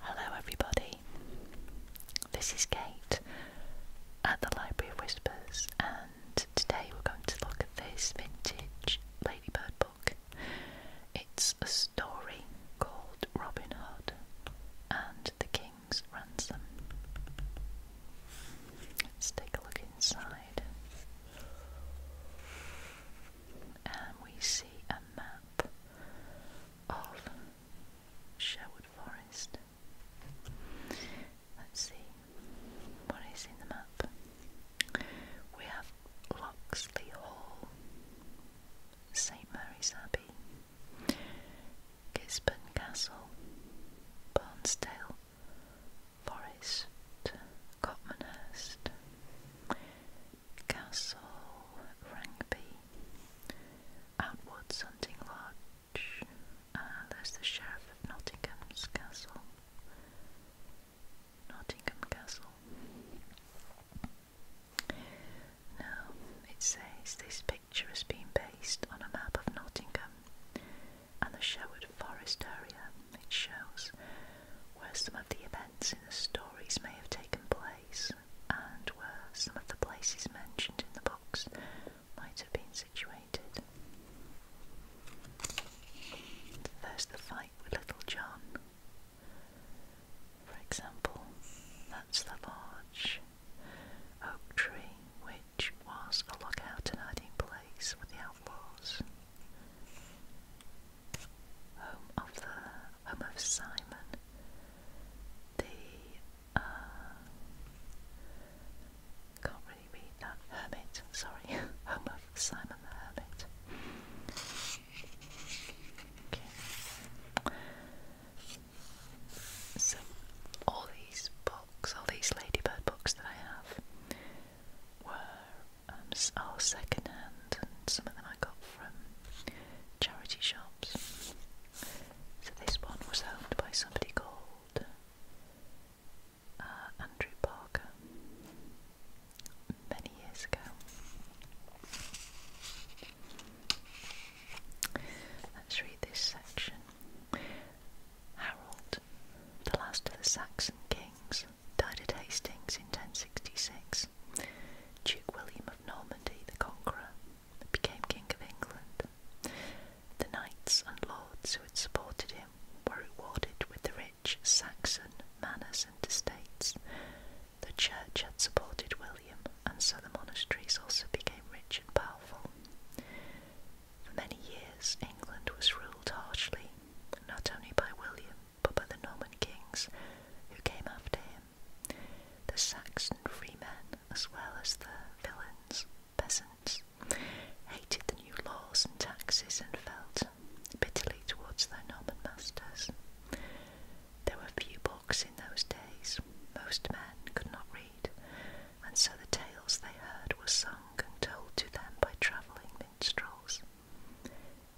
Hello, everybody. This is Kate at the Library of Whispers, and today we're going to look at this vintage Ladybird book. It's a story called Robin Hood and the King's Ransom. Let's take a look inside and we see a map of Sherwood Forest. Let's see what is in the map. We have Locksley Hall, St Mary's Abbey, Gisborne Castle, Barnsdale, Forest, Cotmanhurst, Castle Rangby, Outward's Hunting Lodge, uh, there's the Sheriff of Nottingham's Castle, Nottingham Castle. Now, it says this picture has been based on a map of Nottingham and the Sherwood Forest area. It shows where some of the events in the stories may have taken place and where some of the places mentioned in the books might have been situated. There's the fight with Little John. For example, that's the large oak tree which was a lookout and hiding place for the outlaws home of the home of Simon, the uh, can't really read that hermit. Sorry, home of Simon the Hermit. So all these books, all these Ladybird books that I have, were are um, oh, second hand, and some of them I got from charity shops. So this one was owned by somebody called uh, Andrew Parker many years ago. Let's read this section. Harold, the last of the Saxon kings, died at Hastings in 1066. Duke William of Normandy the Conqueror became King of England. The knights and lords who had supported him were rewarded with the rich Saxon manors and estates. The church had supported William, and so the monasteries also became rich and powerful. For many years, England was ruled harshly, not only by William but by the Norman kings who came after him, the Saxon freemen as well as the villains, peasants, hated the new laws and taxes and felt bitterly towards their Norman masters. There were few books in those days, most men could not read, and so the tales they heard were sung and told to them by travelling minstrels.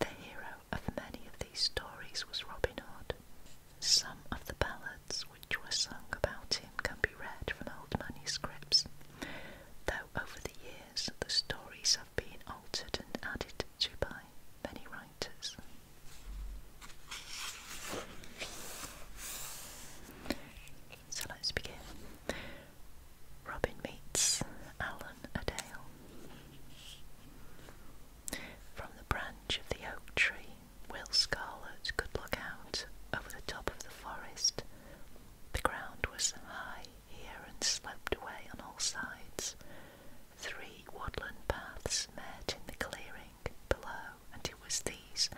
The hero of many of these stories was Robin Hood. Some of the ballads which were sung about him can be read from old manuscripts, though over the years the stories have been altered and added to by many writers. So let's begin. Robin meets Alan Adale. From the branch of the oak tree, Will Scarlet could look out over the top of the forest. The ground was high here and sloped away on all sides. Three woodland paths met in the clearing below, and it was these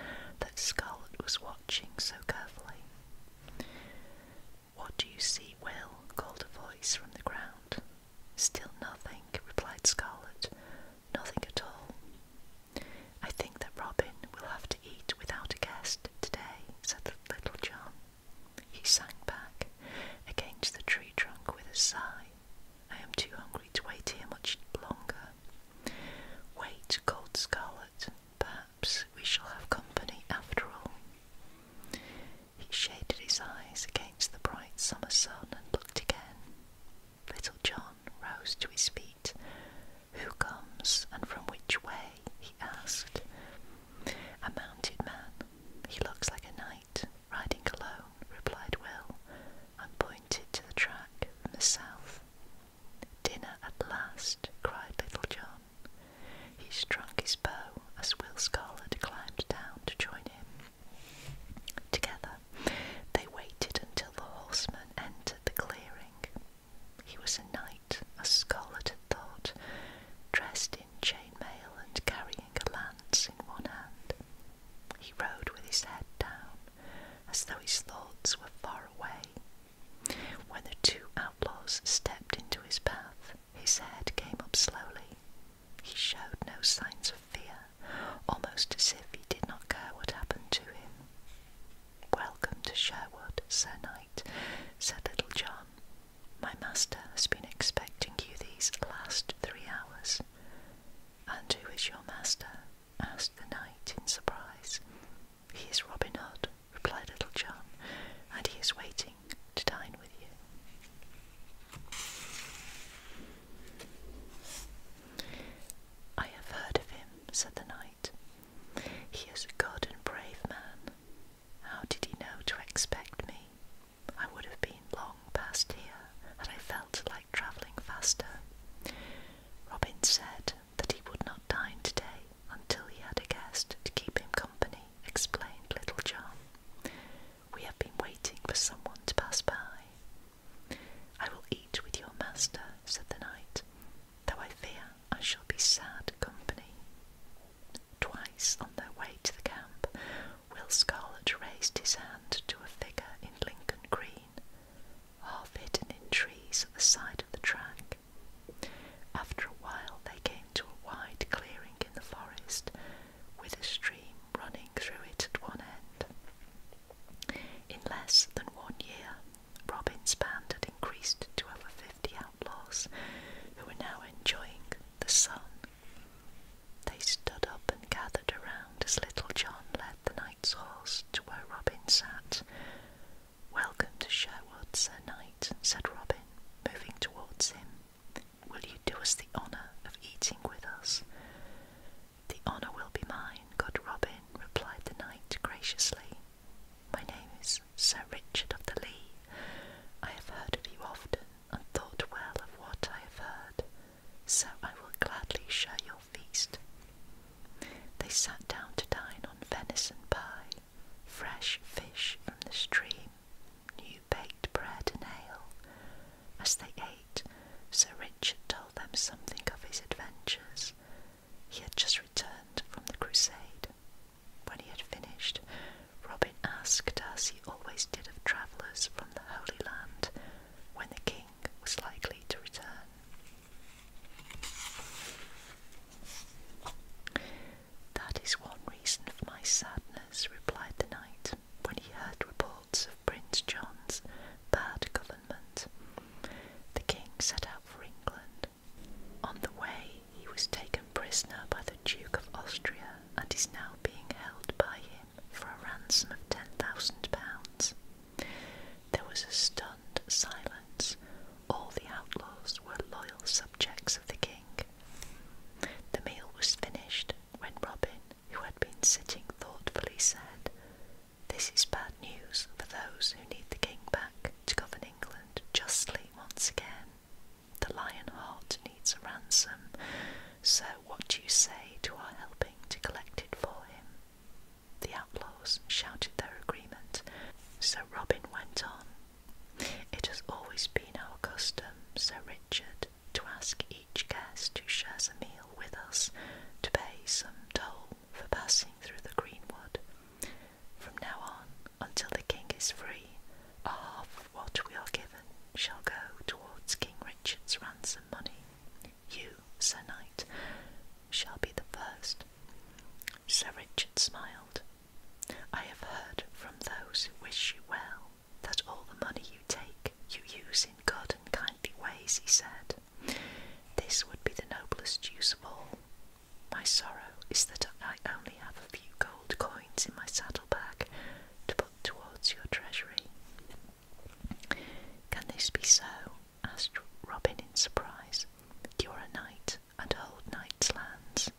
that Scarlet was watching so carefully. What do you see, Will? called a voice from the ground. Still nothing, replied Scarlet. Nothing at all. I think that Robin will have to eat without a guest today, said Little John. He sank back against the tree trunk with a sigh. I am too hungry to wait here much longer. Wait, called Scarlet. Perhaps we shall have company after all. He shaded his eyes against the bright summer sun and looked again. Little John rose to his feet. Who comes and from which way? he asked. A mounted man. He looks like a knight, riding alone, replied Will, and pointed to the track from the south. Dinner at last, cried Little John. He strung his bow as Will Scarlet climbed down to join him. Together, they waited until the horseman entered the clearing. He was a knight, as Scarlet thought, dressed in chain mail and carrying a lance in one hand. He rode with his head down, as though his thoughts were far away when the two outlaws stepped into his path, his head came up slowly. He showed no signs of fear, almost as if he did not care what happened to him. Welcome to Sherwood, Sir Knight, said Little John. My master has been expecting you these last three hours. And who is your master? asked the knight in surprise. He is Robin Hood, replied Little John, and he is waiting to dine with you. I have heard of him, said the knight. He is a good and brave man. How did he know to expect me? I would have been long past here had I felt like travelling faster. Robin said, that he would not dine today until he had a guest to keep him company, explained Little John. We have been waiting for someone to pass by. I will eat with your master, said the knight, though I fear I shall be sad company. Twice on their way to the camp, Will Scarlet raised his hand to a figure in Lincoln Green, half hidden in trees at the side of the track. After a while, they came to a wide clearing in the forest with a stream running through it at one end. In less than one year, Robin's band had increased to over 50 outlaws who were now enjoying the sun. They stood up and gathered around as Little John led the knight's horse to where Robin sat, Welcome to Sherwood, Sir Knight, said Robin, moving towards him. Will you do us the honour of eating with us? The honour will be mine, good Robin, replied the knight graciously. My name is Sir Richard of the Lee. I have heard of you often and thought well of what I have heard, so I will gladly share your feast. They sat down to dine on venison pie, fresh fish from the stream, new baked bread and ale. As they ate, Sir Richard told them something of his adventures. He had just returned from the crusade. When he had finished, Robin asked, as he always did of travellers from the Holy Land, when the king was likely to return. That is one reason for my sadness, replied the knight, when he heard reports of Prince John's bad government. The king set out for England. On the way, he was taken prisoner by the Duke of Austria and is now being held by him for a ransom of £10,000. There was a storm silence, all the outlaws were loyal subjects of the king. The meal was finished when Robin, who had been sitting thoughtfully, said, This is bad news for those who need the king back to govern England justly once again. The lion heart needs a ransom, so what do you say to our helping to collect it for him? The outlaws shouted their agreement, so Robin went on. It has always been our custom, Sir Richard, to ask each guest who shares a meal with us to pay some toll for passing through the greenwood. From now on, until the king is free, half what we are given shall go towards King Richard's ransom money. You, Sir Knight, shall be the first Sir Richard smiled. I have heard from those who wish you well that all the money you take you use in good and kindly ways, he said. This would be the noblest use of all. My sorrow is that I only have a few gold coins in my saddlebag to put towards your treasury. Can this be so? asked Robin in surprise. You're a knight and hold knight's lands.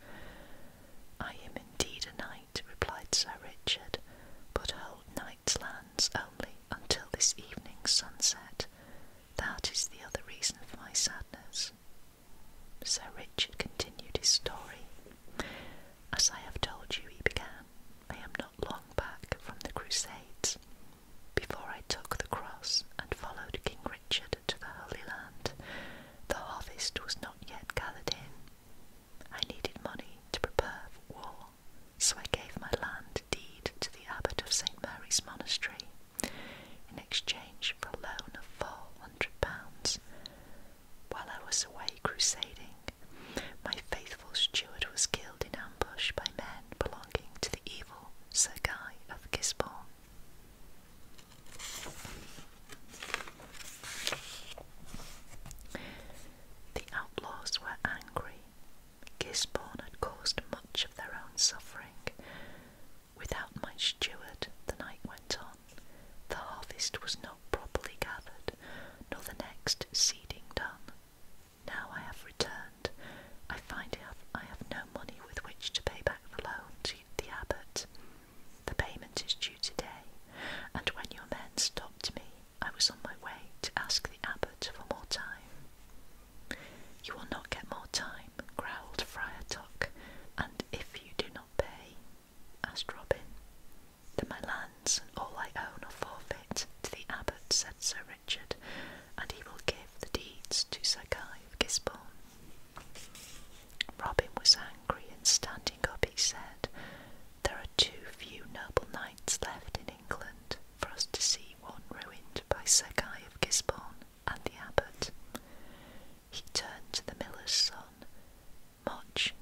I am indeed a knight, replied Sir Richard, but hold knight's lands only until this evening's sunset. That is the other reason for my sadness. Sir Richard continued his story. As I have told you, he began, I am not long back from the Crusades, before I took the cross and followed King Richard to the Holy Land, the harvest was not yet gathered in. I needed money to prepare for war, so I gave my land deed to the abbot of St. Mary's Monastery in exchange for a loan of four hundred pounds. While I was away crusading, my faithful steward was killed in ambush by men belonging to the evil Sir of Gisborne. The outlaws were angry. Gisborne had caused much of their own suffering. Without my steward, the night went on. The harvest was not properly gathered, nor the next seeding done. Now I have returned, I find I have, no money with which to pay back the loan to the abbot. The payment is due today, and when your men stopped me, I was on my way to ask the abbot for more time. You will not get more time, growled Friar Tuck, and if you do not pay, asked Robin, then my lands and all I own are forfeit to the abbot, said Sir Richard, and he will give the deeds to Sir Guy of Gisborne. Robin was angry, and standing up, he said, There are too few noble knights left in England for us to see one ruined by Sir Guy of Gisborne and the abbot. He turned to the miller's son, Much,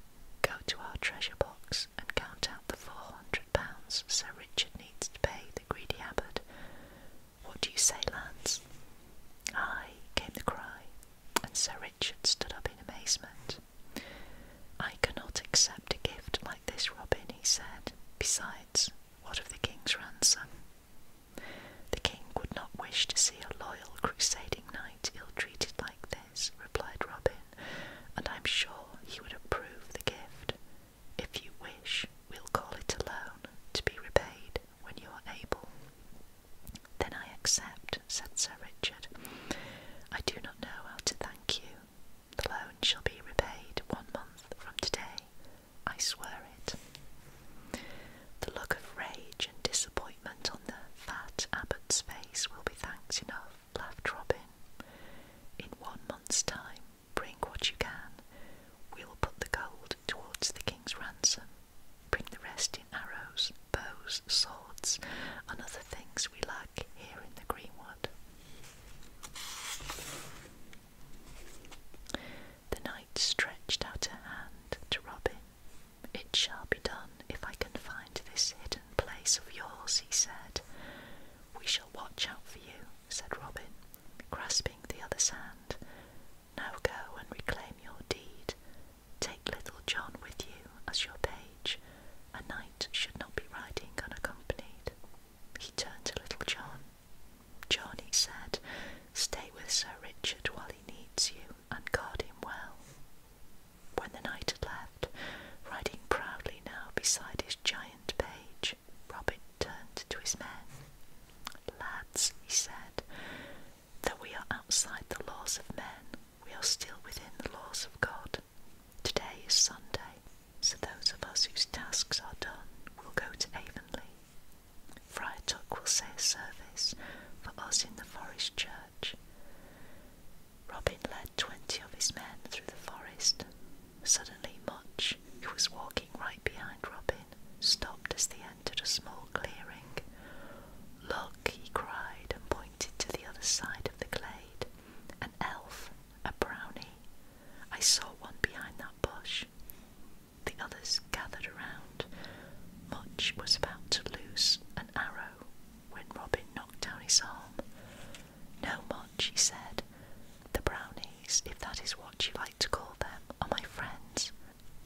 go to our treasure box and count out the four hundred pounds Sir Richard needs to pay greedy abbot. What do you say, lads? Aye, came the cry, and Sir Richard stood up in amazement. I cannot accept a gift like this, Robin, he said. Besides, what of the king's ransom? The king would not wish to see a loyal crusading knight ill treated like this, replied Robin, and I'm sure he would approve the gift if you wish, we'll call it a loan to be repaid when you are able. Then I accept, said Sir Richard. I do not know how to thank you. The loan shall be repaid one month from today. I swear it. The look of rage and disappointment on the fat abbot's face will be thanks enough, laughed Robin. In one month's time, Bring what you can. We will put the gold towards the king's ransom. Bring the rest in arrows, bows, swords, and other things we lack here in the greenwood. The knight stretched out a hand to Robin. It shall be done if I can find this hidden place of yours, he said. We shall watch out for you said Robin, grasping the other's hand. Now go and reclaim your deed. Take little John with you as your page. A knight should not be riding unaccompanied. He turned to little John. John, said, stay with Sir Richard while he needs you, and guard him well. When the knight had left, riding proudly now beside his giant page, Robin turned to his men. Lads, he said, though we are outside the laws of men, we are still within the laws of God. Today is Sunday, so those of us whose tasks are done will go to Avonlea. Friar Tuck will say a service for us in the forest church. Robin led twenty of his men through the forest, Suddenly Much, who was walking right behind Robin, stopped as they entered a small clearing. Look, he cried, and pointed to the other side of the glade. An elf, a brownie. I saw one behind that bush. The others gathered around. Much was about to loose an arrow when Robin knocked down his arm. No, Mott, she said. The brownies, if that is what you like to call them, are my friends.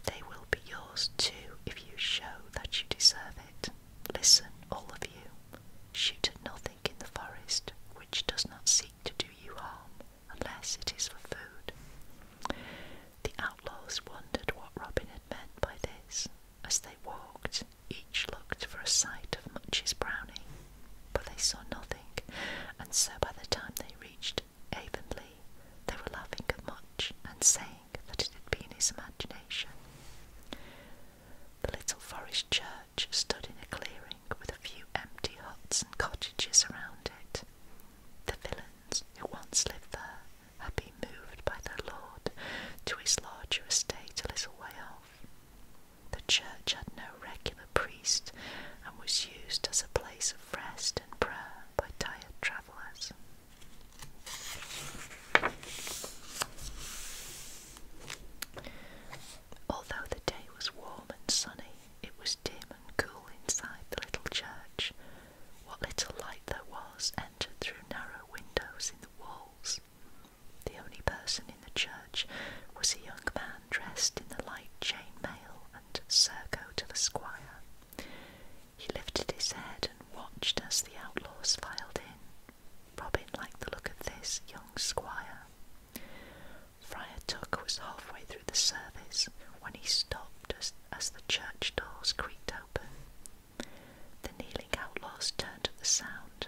They will be yours too if you show that you deserve it. Listen, all of you. Shoot at nothing in the forest which does not seek to do you harm unless it is for food. The outlaws wondered what Robin had meant by this as they walked each looked for a sight of Much's brownie, but they saw nothing, and so by the time they reached Avonlea, they were laughing at Much and saying that it had been his imagination. The little forest church stood in a clearing with a few empty huts and cottages around it. The villains who once lived there had been moved by their lord to his larger estate a little way off. The church had no regular priest and was used as a place of rest and prayer by tired travellers. Although the day was warm and sunny, it was dim and cool inside the little church. What little light there was entered through narrow windows in the walls. The only person in the church was a young man dressed in the light chain mail and surcoat of a squire. He lifted his head and watched as the outlaws filed in. Robin liked the look of this young squire. Friar Tuck was halfway through the service when he stopped as, the church doors creaked open. The kneeling outlaws turned at the sound.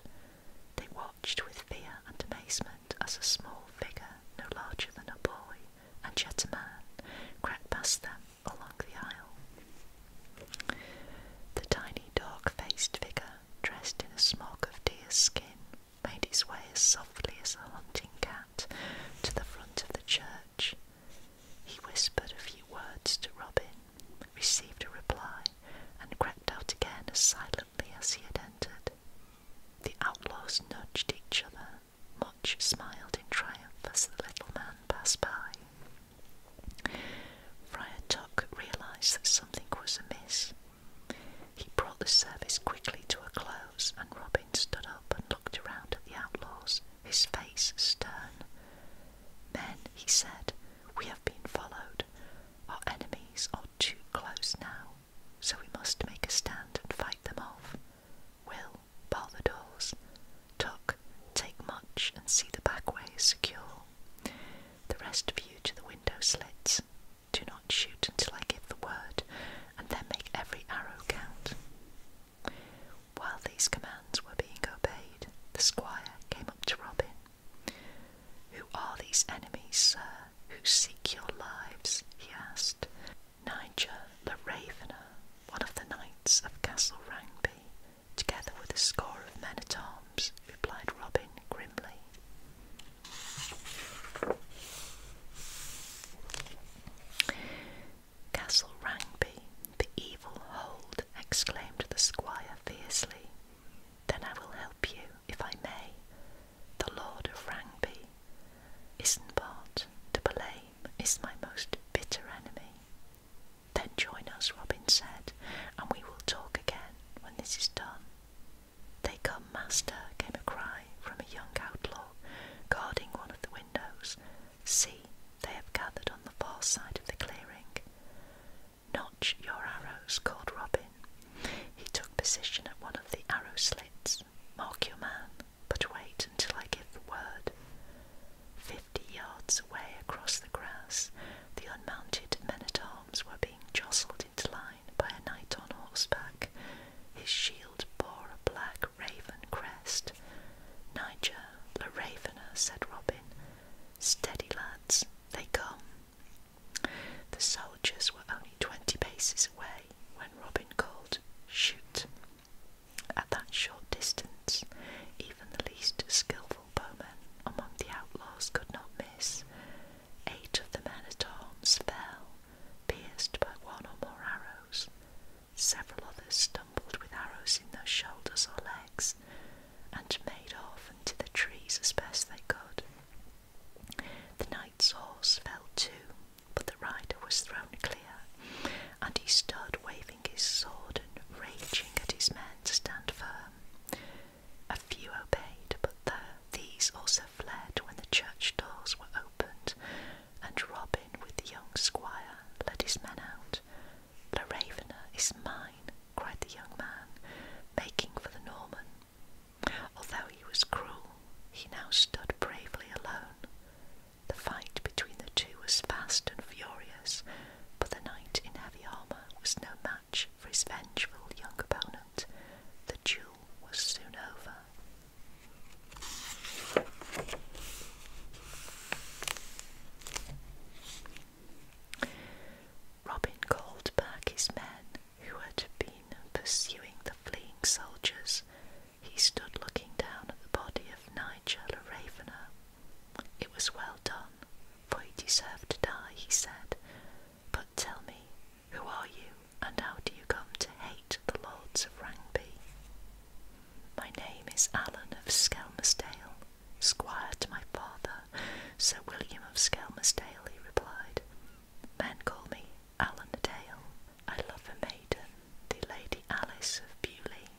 They wore watched with fear and amazement as a small figure, no larger than a boy, and yet a man, crept past them along the aisle. The tiny dark-faced figure, dressed in a smock of deer skin, made his way as softly as a hunting cat to the front of the church. He whispered a few words to Robin, received a reply, and crept out again as silently as he had entered. The outlaws nudged each other. Much smiled in triumph as the little man passed by. Friar Tuck realized that something was amiss. He brought the service quickly to a close, and Robin stood up and looked around at the outlaws, his face stern. Men, he said, we have been followed. Our enemies are too close now, so we must make a stand and fight them off. Will, bar the doors. Tuck, take much and see the back way secure. The rest of you to the window slits. Do not shoot until I give the word, and then make every arrow count. While these commands were being obeyed, the squire came up to Robin who are these enemies, sir, who seek your lives? he asked. Niger the Ravener, one of the knights of Castle Rangby, together with a score of men at arms, replied Robin grimly. Castle Rangby, the evil hold, exclaimed the squire fiercely. Then I will help you, if I may. The Lord of Rangby, Isnbart to blame, is my most bitter enemy. Then join us, Robin said, and we will talk again when this is done. They come, master, came a cry from a young outlaw guarding one of the windows. See, they have gathered on the far side of the clearing. Notch your arrows, called Robin. He took position at one of the arrow slits. Mark your man, but wait until I give the word. Fifty yards away across the grass, the unmounted men at arms were being jostled into line by a knight on horseback. His shield bore a black raven crest. Nigel, La Ravener, said Robin, Steady, lads, they come. The soldiers were only twenty paces away when Robin called, Shoot! At that short distance, even the least skilful bowman among the outlaws could not miss. Eight of the men at arms fell, pierced by one or more arrows. Several others stumbled with arrows in their shoulders or legs, and made off into the trees as best they could. The knight's horse fell too, but the rider was thrown clear, and he stood waving his sword and raging at his men to stand firm. A few obeyed, but the, these also fled when the church doors were opened, and Robin, with the young squire, led his men out. La Ravener is mine, cried the young man, making for the Norman. Although he was cruel, he now stood bravely alone. The fight between the two was fast and furious, but the knight in heavy armour was no match for his vengeful young opponent. The duel was soon over. Robin called back his men who had been pursuing the fleeing soldiers. He stood looking down at the body of Nigel Ravener. It was well done, for he deserved to die, he said. But tell me, who are you, and how do you come to hate the lords of Rangby? My name is Alan of Skelmersdale, Squire to my father, Sir William of Skelmersdale, he replied. Men call me Alan a Dale. I love a maiden, the Lady Alice of Bewley.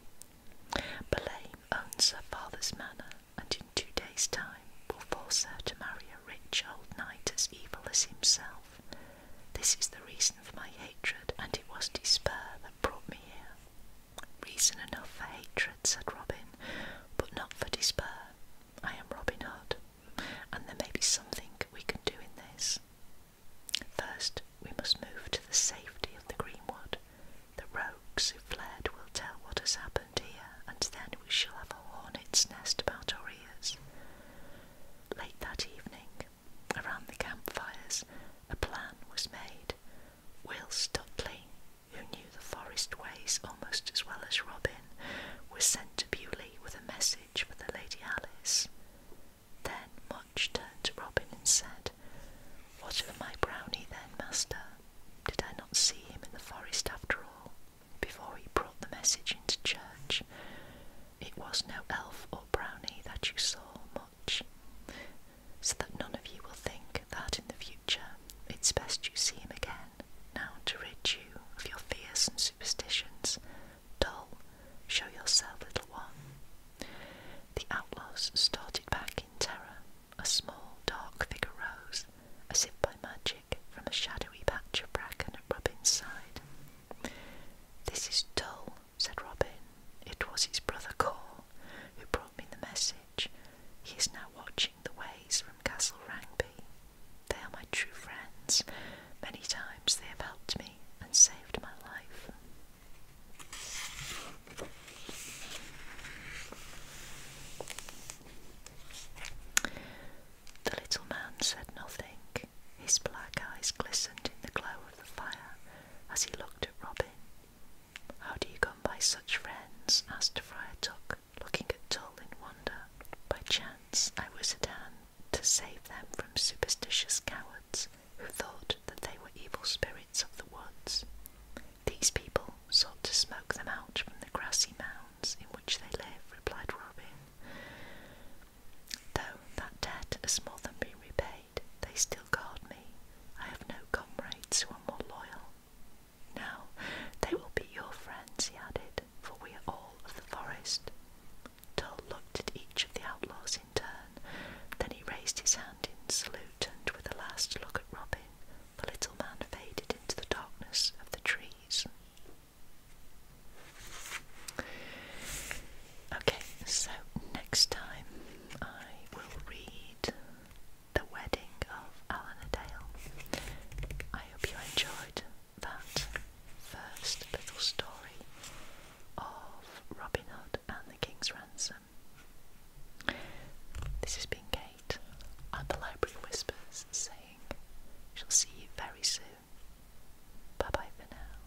Belame owns her father's manor, and in two days' time will force her to marry a rich old knight as evil as himself. This is the reason for my hatred, and it was despair that brought me here. Reason enough for hatred, said Robin, but not for despair. I am Robin Hood, and there may be something we can do in this. First, we must move to the safety of the greenwood. The rogues who fled will tell what has happened here, and then we shall have a hornet's nest about our ears. Late that evening, around the campfires, a plan was made Will Stutley, who knew the forest ways almost as well as Robin, was sent to Beaulieu with a message for the Lady Alice. Then Much turned to Robin and said, What of my brownie then, master? Did I not see him in the forest after all, before he brought the message into church? It was no elf or brownie that you saw, Much." so that none of you will think that in the future it's best you see him again, now to rid you of your fears and superstitions. Dull, show yourself, little one. The outlaws started back in terror. A small, dark figure rose, as if by magic, from a shadowy patch of bracken at Robin's side. This is dull, said Robin. It was his brother Cor, who brought brought the message. He is now watching the ways from Castle Rangby. They are my true friends. Many times they have helped me and saved my life. The little man said nothing. His black eyes glistened in the glow of the fire as he looked at Robin. How do you come by such friends? asked Friar Tuck, looking at Tull in wonder. By chance I was at hand to save them from superstitious cowards who thought that they were evil spirits of the woods. These people sought to smoke them out from the grassy mounds in which they live, replied Robin. Though that debt has more than been repaid, they still guard me. I have no comrades who are more loyal. Now they will be your friends, he added, for we are all of the forest. Tull looked at each of the outlaws in turn, then he raised his hand in salute and with a last look at Robin, the little man faded into the darkness of the trees. Okay, so next time I will read the wedding of Alan a Dale. I hope you enjoyed that first little story of Robin Hood and the King's Ransom. This has been Kate at the Library Whispers saying, Shall see you very soon. Bye bye for now.